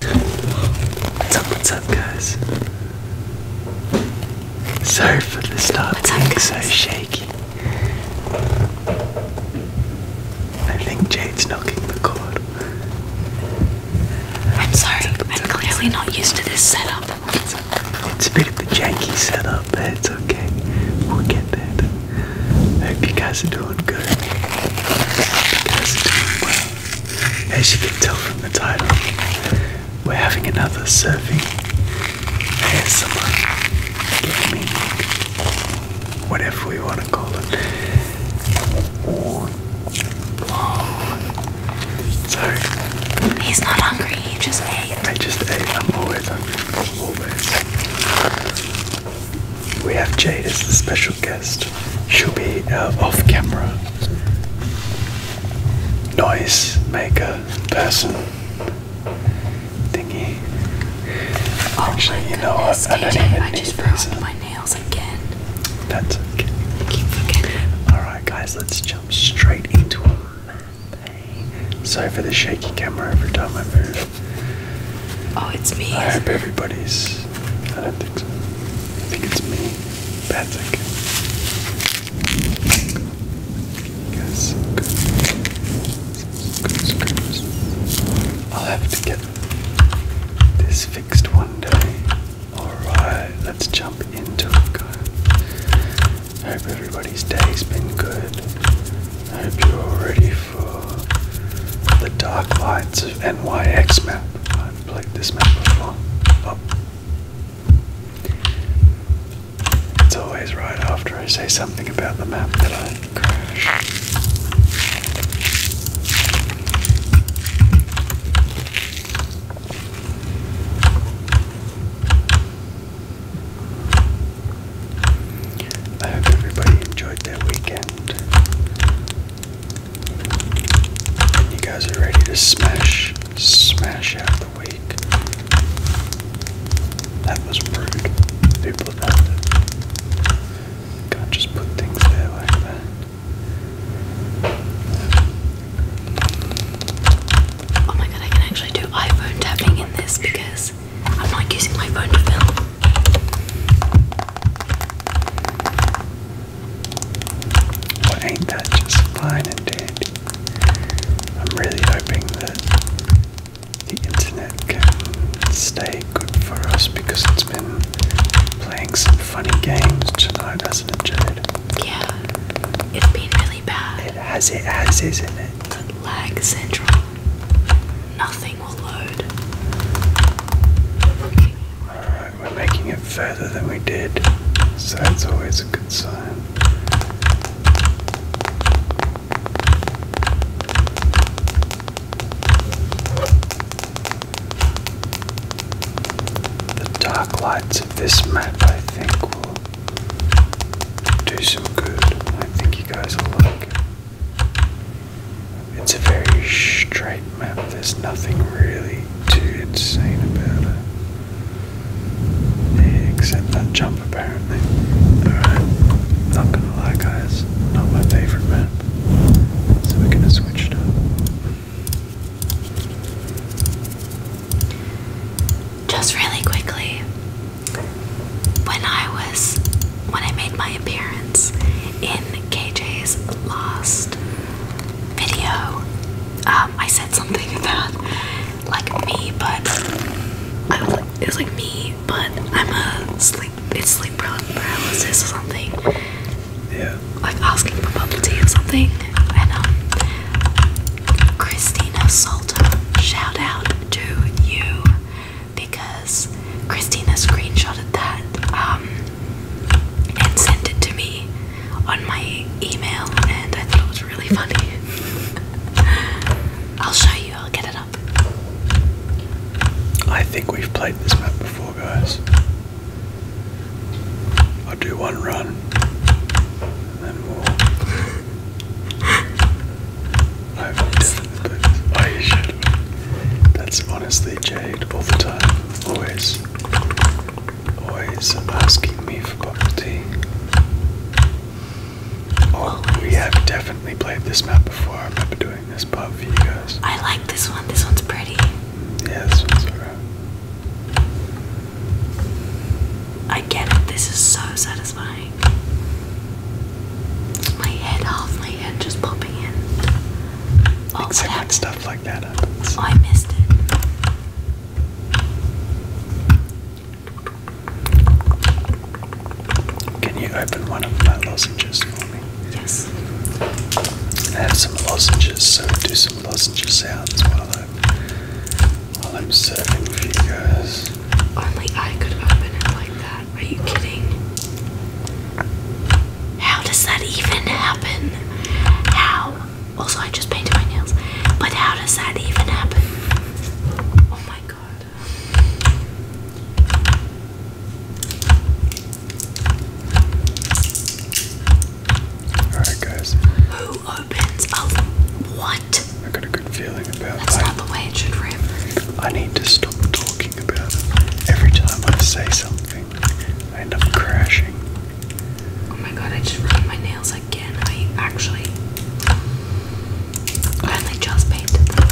What's up, what's up, guys? Sorry for the start what's being up, so shaky. I think Jade's knocking the cord. I'm sorry, I'm clearly not used to this setup. It's a bit of a janky setup, but it's okay. We'll get there. hope you guys are doing good. As you can tell from the title, we're having another surfing ASMR gaming, whatever we want to call it. Or, oh. So he's not hungry. He just ate. I just ate. I'm always hungry we have Jade as the special guest. She'll be uh, off camera. Noise maker person thingy. Oh Actually, you know I don't even I just these. my nails again. That's okay. Alright, guys, let's jump straight into a map. Sorry for the shaky camera every time my move. Oh, it's me. I hope everybody's I don't think so. I think it's me. That's okay. Yes, good. Good screws. I'll have to get this fixed one day. Alright, let's jump into it, guys. hope everybody's day's been good. hope you're all ready for the dark lights of NYX map played this map before. It's always right after I say something about the map that I crash. I hope everybody enjoyed their weekend. You guys are ready to smash, smash out the week. That was brutal. People Can't just put things there like Oh my god, I can actually do iPhone tapping in this because I'm not using my phone to film. Well, ain't that just fine and dandy? I'm really hoping that the internet can stay good for us because it's been playing some funny games tonight, hasn't enjoyed. Yeah, it's been really bad. It has, it has, isn't it? lag central. Nothing will load. Alright, we're making it further than we did, so that's always a good sign. The dark lights of this map, I think, will do some good. I think you guys will like it's a very straight map, there's nothing really too insane about it. except that jump apparently. Alright, not gonna lie guys, not my favourite map. So we're gonna switch Just really quickly, when I was when I made my appearance in KJ's last video, um, I said something about like me, but it was like me, but I'm a sleep, it's sleep paralysis or something. Yeah. Like asking for bubble tea or something, and um, Christina Salter, shout out to you because because Christina screenshotted that um, and sent it to me on my email, and I thought it was really funny. I'll show you, I'll get it up. I think we've played this map before, guys. I'll do one run, and we'll. That's honestly Jade all the time. Always. Always asking me for bubble tea. Oh, we have definitely played this map before. I remember doing this part for you guys. I like this one. This one's pretty. Yeah, I get it. This is so satisfying. My head, half my head just popping in. Oh, Except when stuff like that happens. I missed it. Can you open one of my lozenges for me? Yes. I have some lozenges, so do some lozenges sounds while I'm while I'm serving for you guys. Only I could open it like that are you kidding? How does that even happen? How? Also, I just painted my nails. But how does that even happen? Oh my god. Alright, guys. Who opens a. What? I got a good feeling about That's not the way it should rip. I need to stop talking. Every time I say something, I end up crashing. Oh my god, I just ruined my nails again. I actually I only just painted them.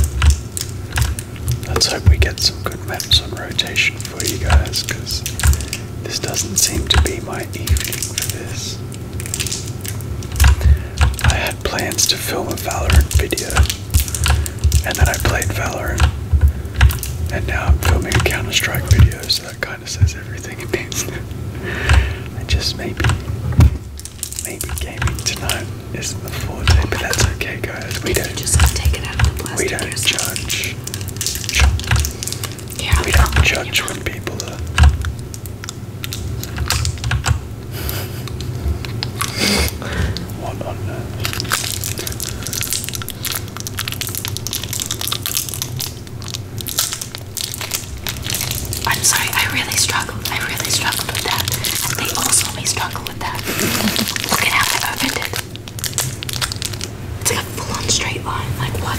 Let's hope we get some good maps on rotation for you guys, because this doesn't seem to be my evening for this. I had plans to film a Valorant video and then I played Valorant, and now I'm filming a Counter Strike video. So that kind of says everything it means. I just maybe, maybe gaming tonight isn't the forte, but that's okay, guys. We don't just We don't judge. Yeah, we don't judge when people are. What on earth? I'm sorry, I really struggled. I really struggled with that. And they also may struggle with that. Look at how I opened it. It's like a full-on straight line. Like what?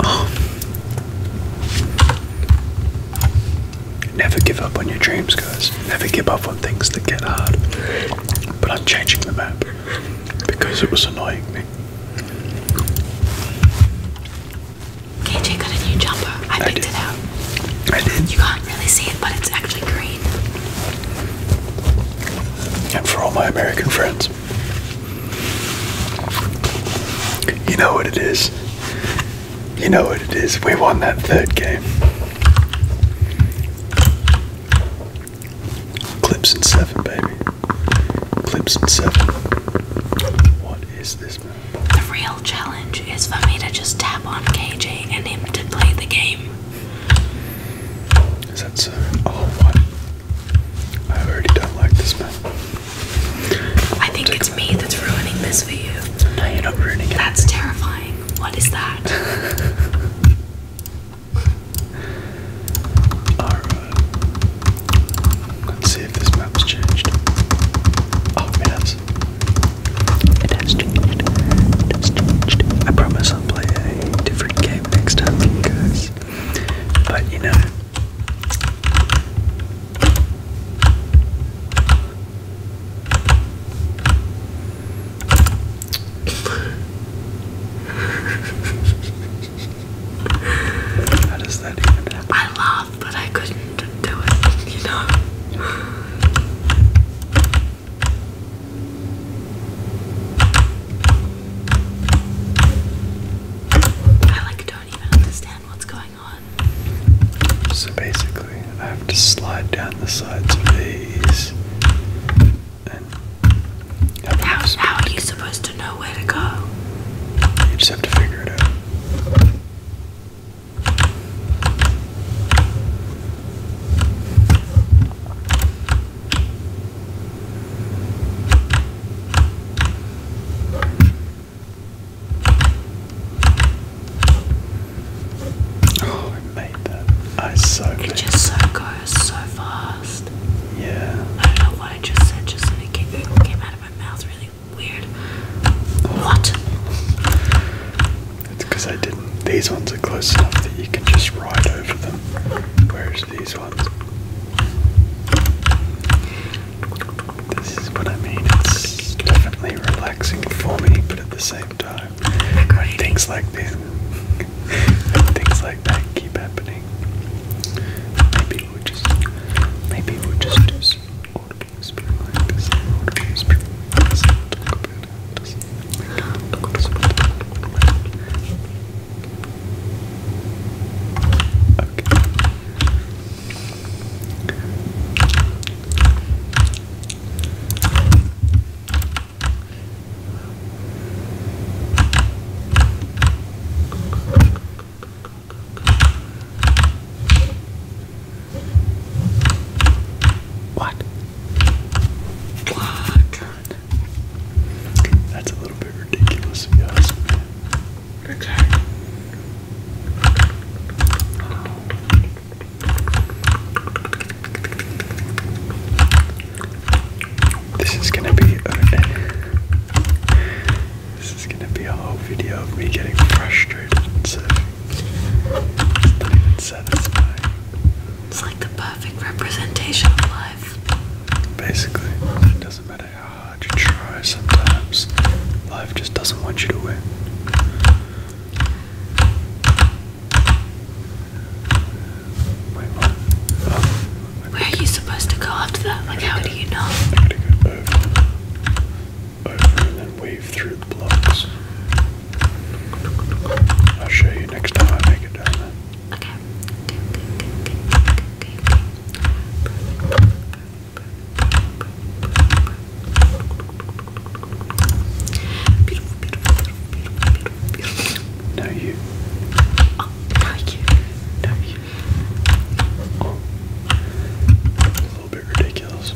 Oh. never give up on your dreams, guys. Never give up on things that get hard. But I'm changing the map because it was annoying me. KJ got a new jumper. I, picked it out. I did. You can't really see it, but it's actually green. And for all my American friends, you know what it is. You know what it is. We won that third game. Clips and seven, baby. Clips and seven. What is this, The real challenge is for me to just tap on KJ and him to play the game. Is that so? Oh, what? I already don't like this man. I think it's me that's ruining this for you. No, you're not ruining it. That's terrifying. What is that? Alright. Let's see if this map's changed. Oh, it has. It has changed. It has changed. I promise I'll play a different game next time, guys. But you know. How does that even happen? I laughed, but I couldn't do it, you know? I like don't even understand what's going on. So basically, I have to slide down the sides of these. how, how are you supposed to know where to go? You just have to figure it out. Oh, I made that. I so It just so goes so fast. Yeah. I don't know why I just said, just it came, out of my mouth really weird. What? It's because I didn't. These ones are close enough that you can just ride over them. Where this is what I mean. It's definitely relaxing for me, but at the same time, when things like this, things like that keep happening, maybe we just, maybe we just do some what? What? That's a little bit ridiculous, guys. Okay. this is gonna be a, this is gonna be a whole video of me getting frustrated It's like the perfect representation of life. Basically, it doesn't matter how hard you try sometimes, life just doesn't want you to win. Oh, Where are you supposed to go after that? Like, how do you know? over, over and then weave through the blocks. I'll show you next time I make it down there. Okay. Okay, Now you. now you. Now you. A little bit ridiculous.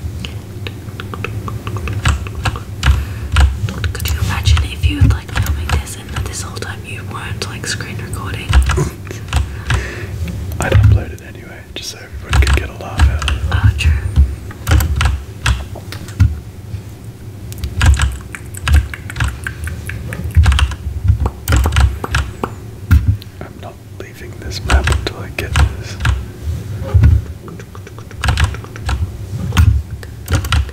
Could you imagine if you like filming this this whole time you weren't like screen recording. I'd anyway, just so everyone could get a laugh out Oh, true. I'm not leaving this map until I get this.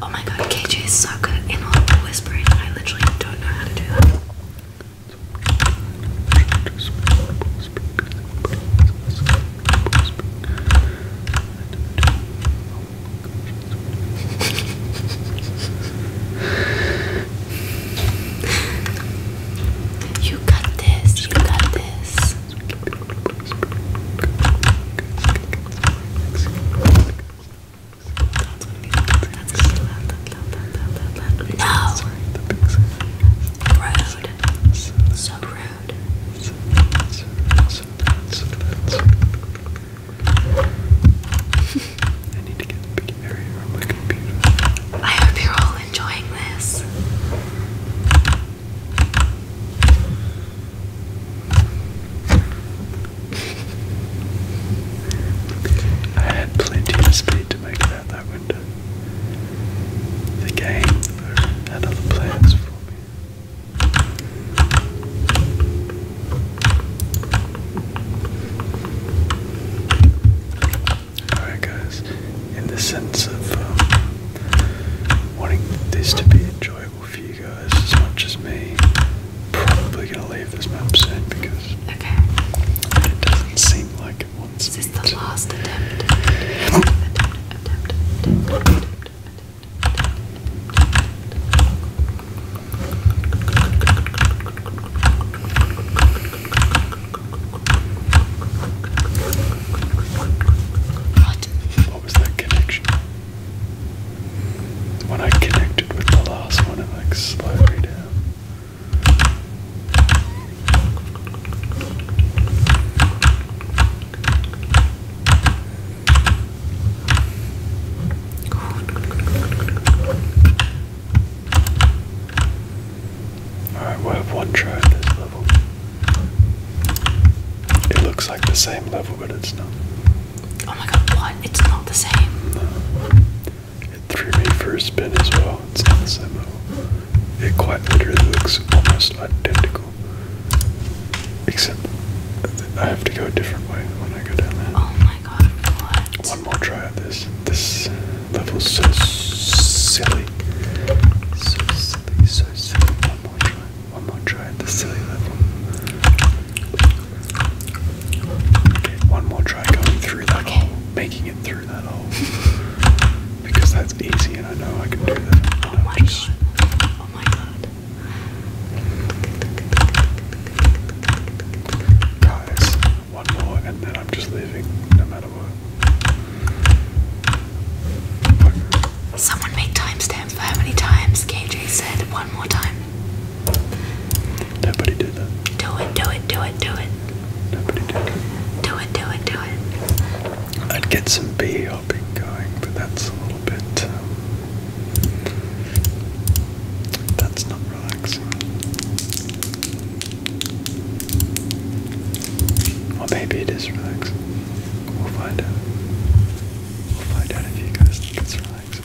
Oh my god, KJ is so good at inaudible whispering. I literally don't know how to do that. You got this, you got this. No! Rude. So rude. I need to get the big area on my computer. I hope you're all enjoying this. I had plenty of speed to make out that window. The game had other plans for me. Alright, guys, in the sense of wanting this to be enjoyable for you guys as much as me, probably gonna leave this map soon because okay. it doesn't seem like it wants Is the to. last attempt. What? What was that connection? When I connected with the last one, it like slowed me down. Alright, we'll have one try at this level. It looks like the same level, but it's not. Oh my god, what? It's not the same. No. It threw me for a spin as well. It's not the same level. It quite literally looks almost identical. Except I have to go a different way when I go down there. Oh my one more try at this. This level's so silly. So silly, so silly. One more try. One more try at the silly level. one more try going through that hole. Making it through that hole. because that's easy and I know I can do that. Oh my god. Oh my god. Guys, one more, and then I'm just leaving no matter what. Someone make timestamps how many times KJ said one more time. Nobody did that. Do it, do it, do it, do it. Nobody did Do it, do it, do it. I'd get some bee hopping going, but that's a little bit. Um, that's not relaxing. Or maybe it is relaxing. We'll find out. We'll find out if you guys think it's relaxing.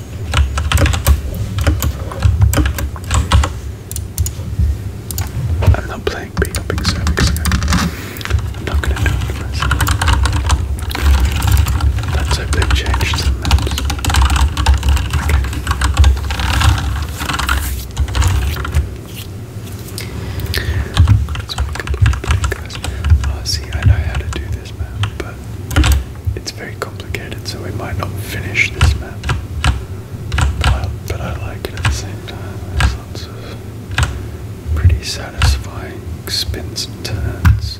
I'm not playing big up big cervix I'm not gonna do it for myself. Let's Okay. Let's make a couple guys. Oh see I know how to do this map, but it's very complicated, so we might not finish this map. But I, like it at the same time. lots of pretty satisfying spins and turns.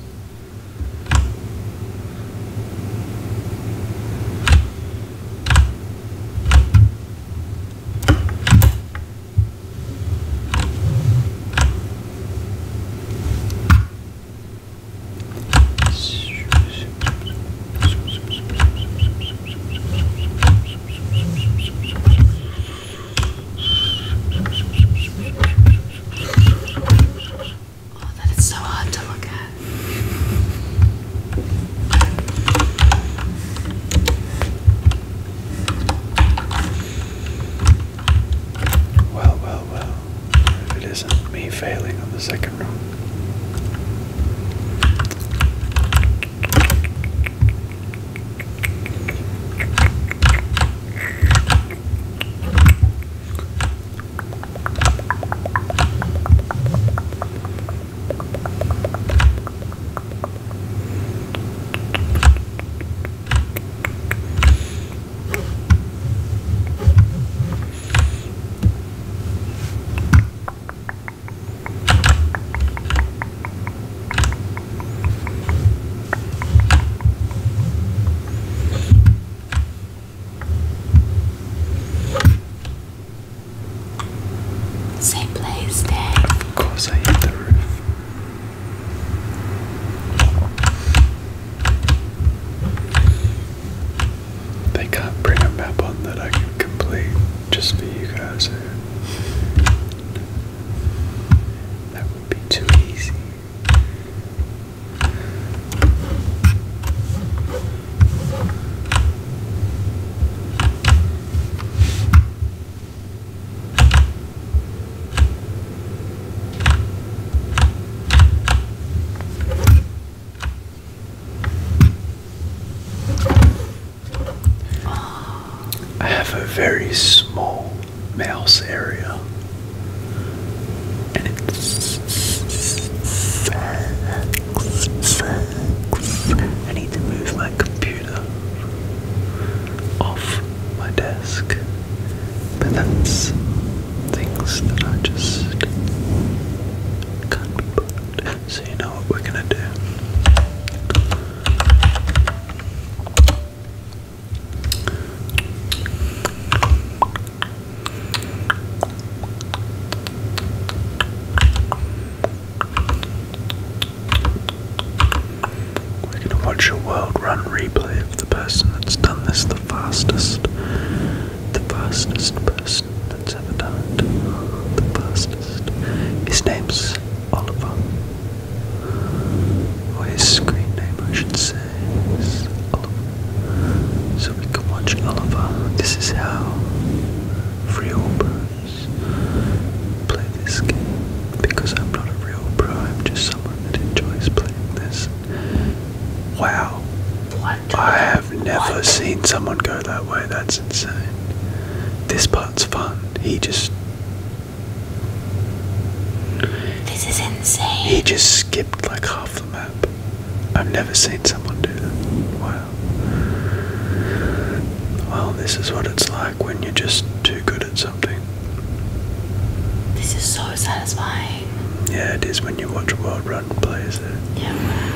Oh, that is so hard to look at. Well, well, well. If it isn't me failing on the second round. Same place there. I hit the they can't bring a map on that I can complete just for you guys. Eh? That would be too easy. I have a very small mouse area, and it sucks, I need to move my computer off my desk. But that's things that I just can't be bothered. So you know what we're gonna do. We're gonna watch a world run replay the person that's done this the fastest. The fastest person that's ever done it. The fastest. His name's Oliver. Or his screen name, I should say, is Oliver. So we can watch Oliver. This is how real pros play this game. Because I'm not a real pro, I'm just someone that enjoys playing this Wow. I have never seen someone go that way. That's insane. This part's fun. He just. He just skipped like half the map. I've never seen someone do that. Wow. Well, this is what it's like when you're just too good at something. This is so satisfying. Yeah, it is when you watch a World Run play, is it? Yeah.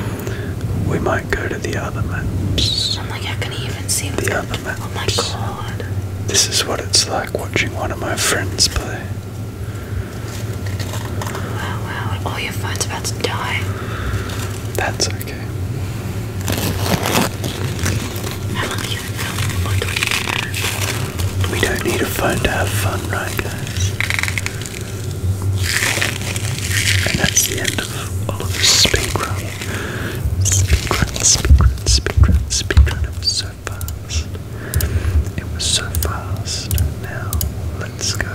We might go to the other maps. I'm like, I can not even see the other maps? Oh my god. This is what it's like watching one of my friends play. Wow, wow, all your phone's about to die. That's okay. We don't need a phone to have fun, right, guys? And that's the end of all of this speedrun, speedrun, speedrun. run, It was so fast. It was so fast. Now, let's go.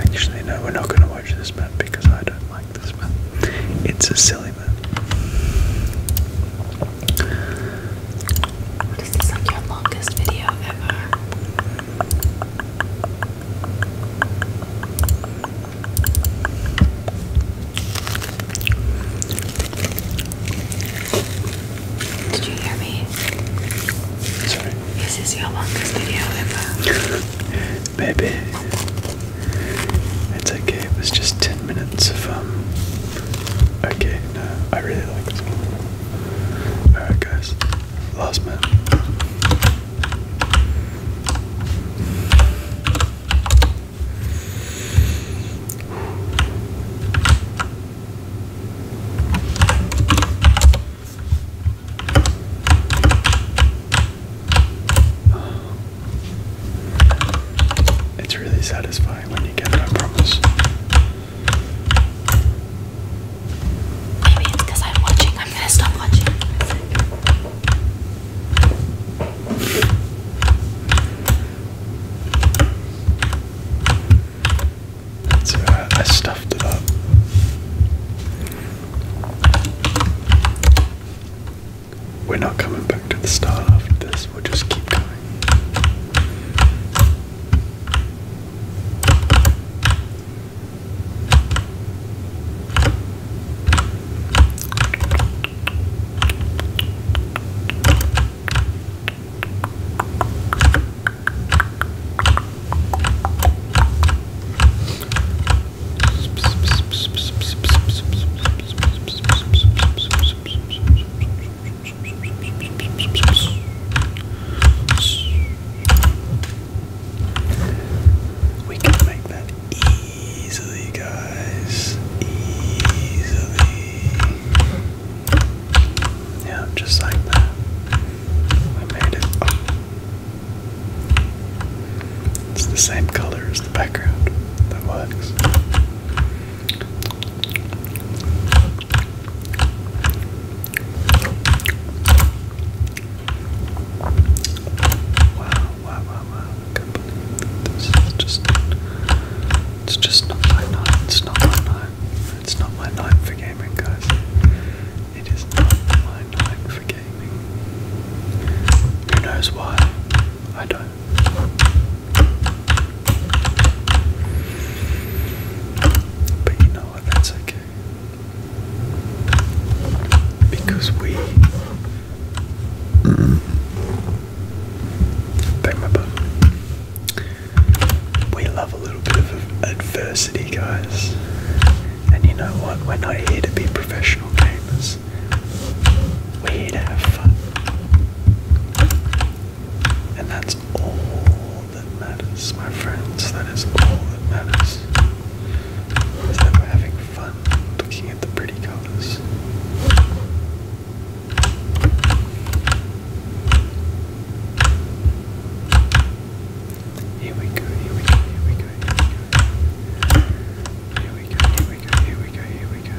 Actually, no, we're not going to watch this map because I don't like this myth. It's a silly myth. This like your longest video ever. Did you hear me? Sorry. This is your longest video ever. Baby, it's okay, it was just 10 minutes of, um. Okay, no, I really like this Alright, guys, last minute it's really satisfying when you get it, I promise. Maybe because I'm watching. I'm gonna stop watching. Uh, I stuffed it up. We're not coming back to the start after this, we'll just keep going. We can make that easily, guys. Easily. Yeah, just like that. We made it. Oh. It's the same color as the background. That works. Wow, wow, wow, wow. I this is just it's just not my night. It's not my night. It's not my night for gaming guys. It is not my night for gaming. Who knows why? I don't. But you know what? That's okay. Because we. Bang my butt. We love a little bit of adversity, guys. And you know what? We're not here to be professional gamers. We're here to have fun. And that's all that matters, my friends. That is all that matters. Is that we're having fun looking at the pretty colours. Here we go, here we go, here we go, here we go. Here we go, here we go, here we go,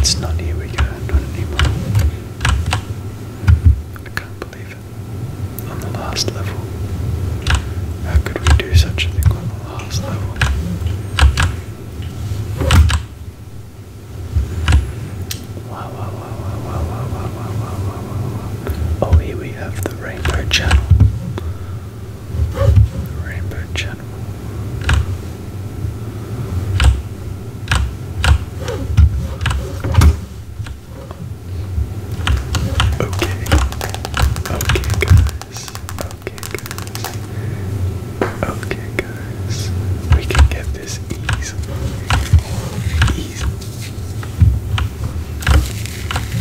It's not here we go, not anymore. I can't believe it. On the last level. How could we do such a thing on the last level? Oh, here we have the Rainbow Channel. Rainbow Channel. Okay. Okay, guys. Okay, guys. Okay, guys. We can get this ease. Ease.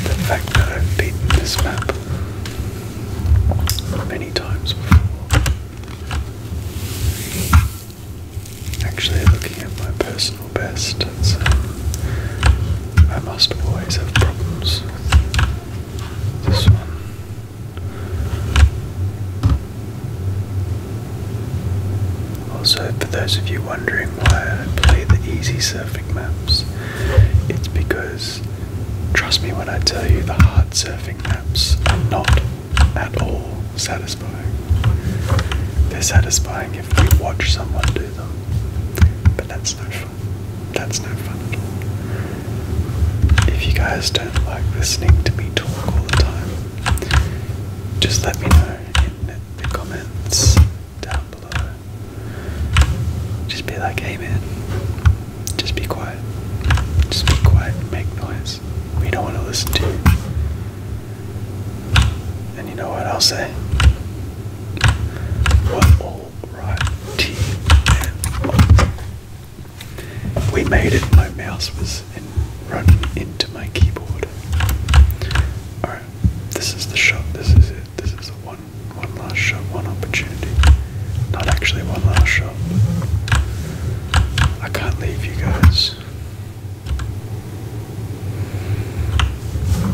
The fact that I've beaten this map many times before. Actually, looking at my personal best, um, I must always have problems this one. Also, for those of you wondering why I play the easy surfing maps, it's because, trust me when I tell you, the hard surfing maps are not at all satisfying. They're satisfying if you watch someone do them, but that's no fun. That's no fun at all. If you guys don't like listening to me talk all the time, just let me know in the comments down below. Just be like, Amen. just be quiet. Just be quiet and make noise. We don't want to listen to you. And you know what I'll say? Well, alright, we made it. My mouse was in, run into my keyboard. All right, this is the shot. This is it. This is the one, one last shot, one opportunity. Not actually one last shot. I can't leave you guys.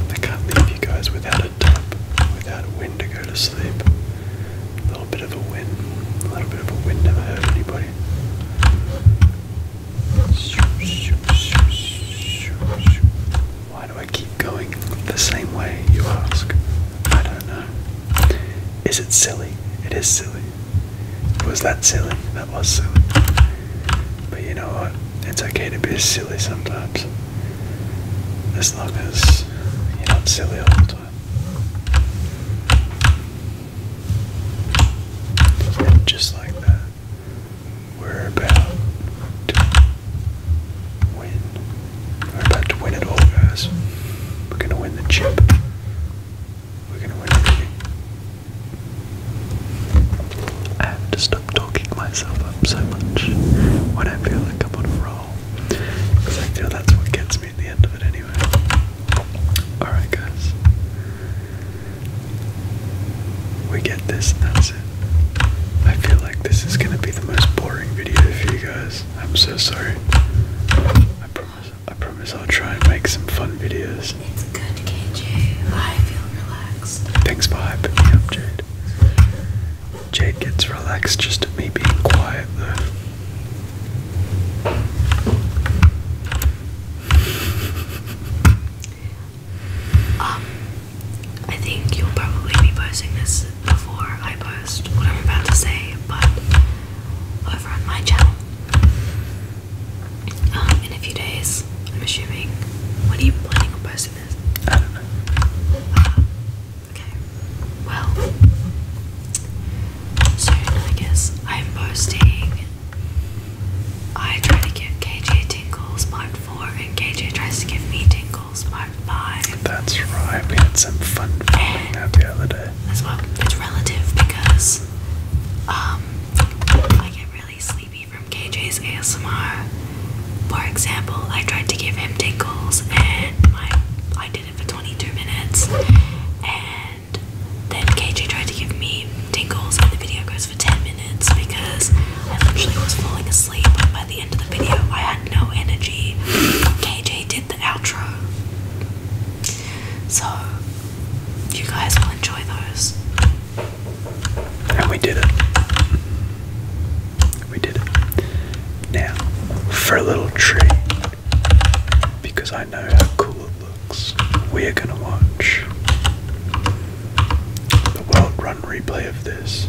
I can't leave you guys without a tap, without a win to go to sleep. A little bit of a wind. A little bit of a wind never hurt anybody. Why do I keep going the same way, you ask? I don't know. Is it silly? It is silly. Was that silly? That was silly. But you know what? It's okay to be silly sometimes. As long as you're not silly all the time just like that, we're about to win. We're about to win it all, guys. We're going to win the chip. We're going to win everything. I have to stop talking myself up so much when I feel like I'm on a roll. I feel that's what gets me at the end of it anyway. Alright, guys. We get this, and that's it. I feel like this is gonna be the most boring video for you guys. I'm so sorry. I promise. I promise I'll try and make some fun videos. It's good, KJ. I feel relaxed. Thanks for hyping me Jade. Jade gets relaxed just at me being quiet, though. Um, I think you'll probably be posting this before I post what I'm about to say, but over on my channel um, in a few days, I'm assuming. When are you planning on posting this? Uh, okay. Well, soon, I guess. I'm posting. I try to give KJ tingles part 4, and KJ tries to give me tingles part 5. That's right, we had some fun playing that the other day. As well, it's relative because um, I get really sleepy from KJ's ASMR. For example, I tried to give him tingles and my, I did it for 22 minutes and then KJ tried to give me tingles and the video goes for 10 minutes because I literally was falling asleep by the end of the video. I had no energy. KJ did the outro. So you guys will enjoy those. And we did it. We did it. Now, for a little tree because I know how cool it looks. We're gonna watch the world run replay of this.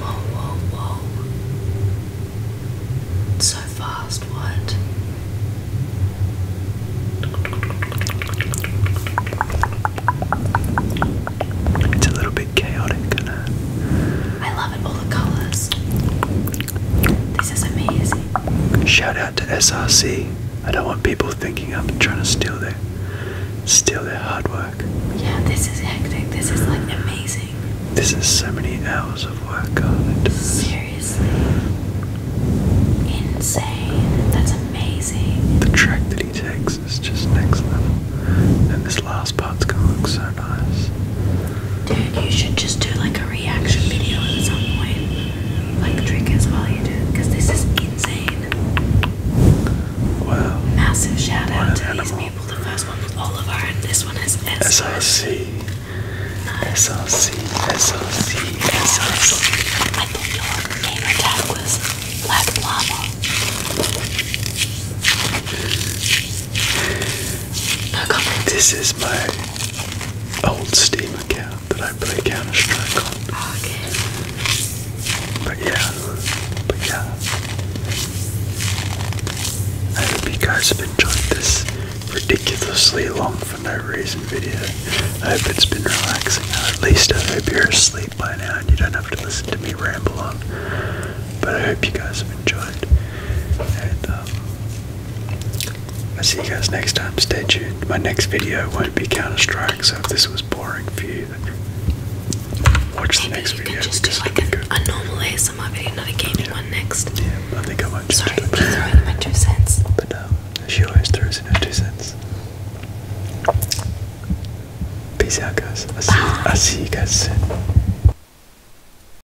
Whoa, whoa, whoa. so fast, what? It's a little bit chaotic, isn't I love it, all the colours. This is amazing. Shout out to SRC. I don't want people thinking I'm trying to steal their steal their hard work. Yeah, this is hectic. This is like amazing. This is so many hours of work on it. Seriously. Insane. That's amazing. The track that he takes is just next level. And this last part's gonna look so nice. Dude, you should just do like a reaction video at some point. Like triggers while you do this is insane. Wow. Massive shout out to animal. these people. The first one was Oliver and this one is SRC. thought your name attack was Lava. This is my old Steam account that I play Counter Strike on. Ah, but yeah, but yeah. I hope you guys have enjoyed this ridiculously long for no reason video. I hope it's been relaxing. At least I hope you're asleep by now and you don't have to listen to me ramble on. But I hope you guys have enjoyed. And um, I'll see you guys next time. Stay tuned. My next video won't be Counter Strike, so if this was boring for you, watch Maybe the next you Can just do like a, a normal ASMR video, not a gaming yeah. one next. Yeah, I think I might just Sorry, do it. in my two cents. But no, um, she always throws in her two cents. Peace out, guys. i see, I'll see you guys soon.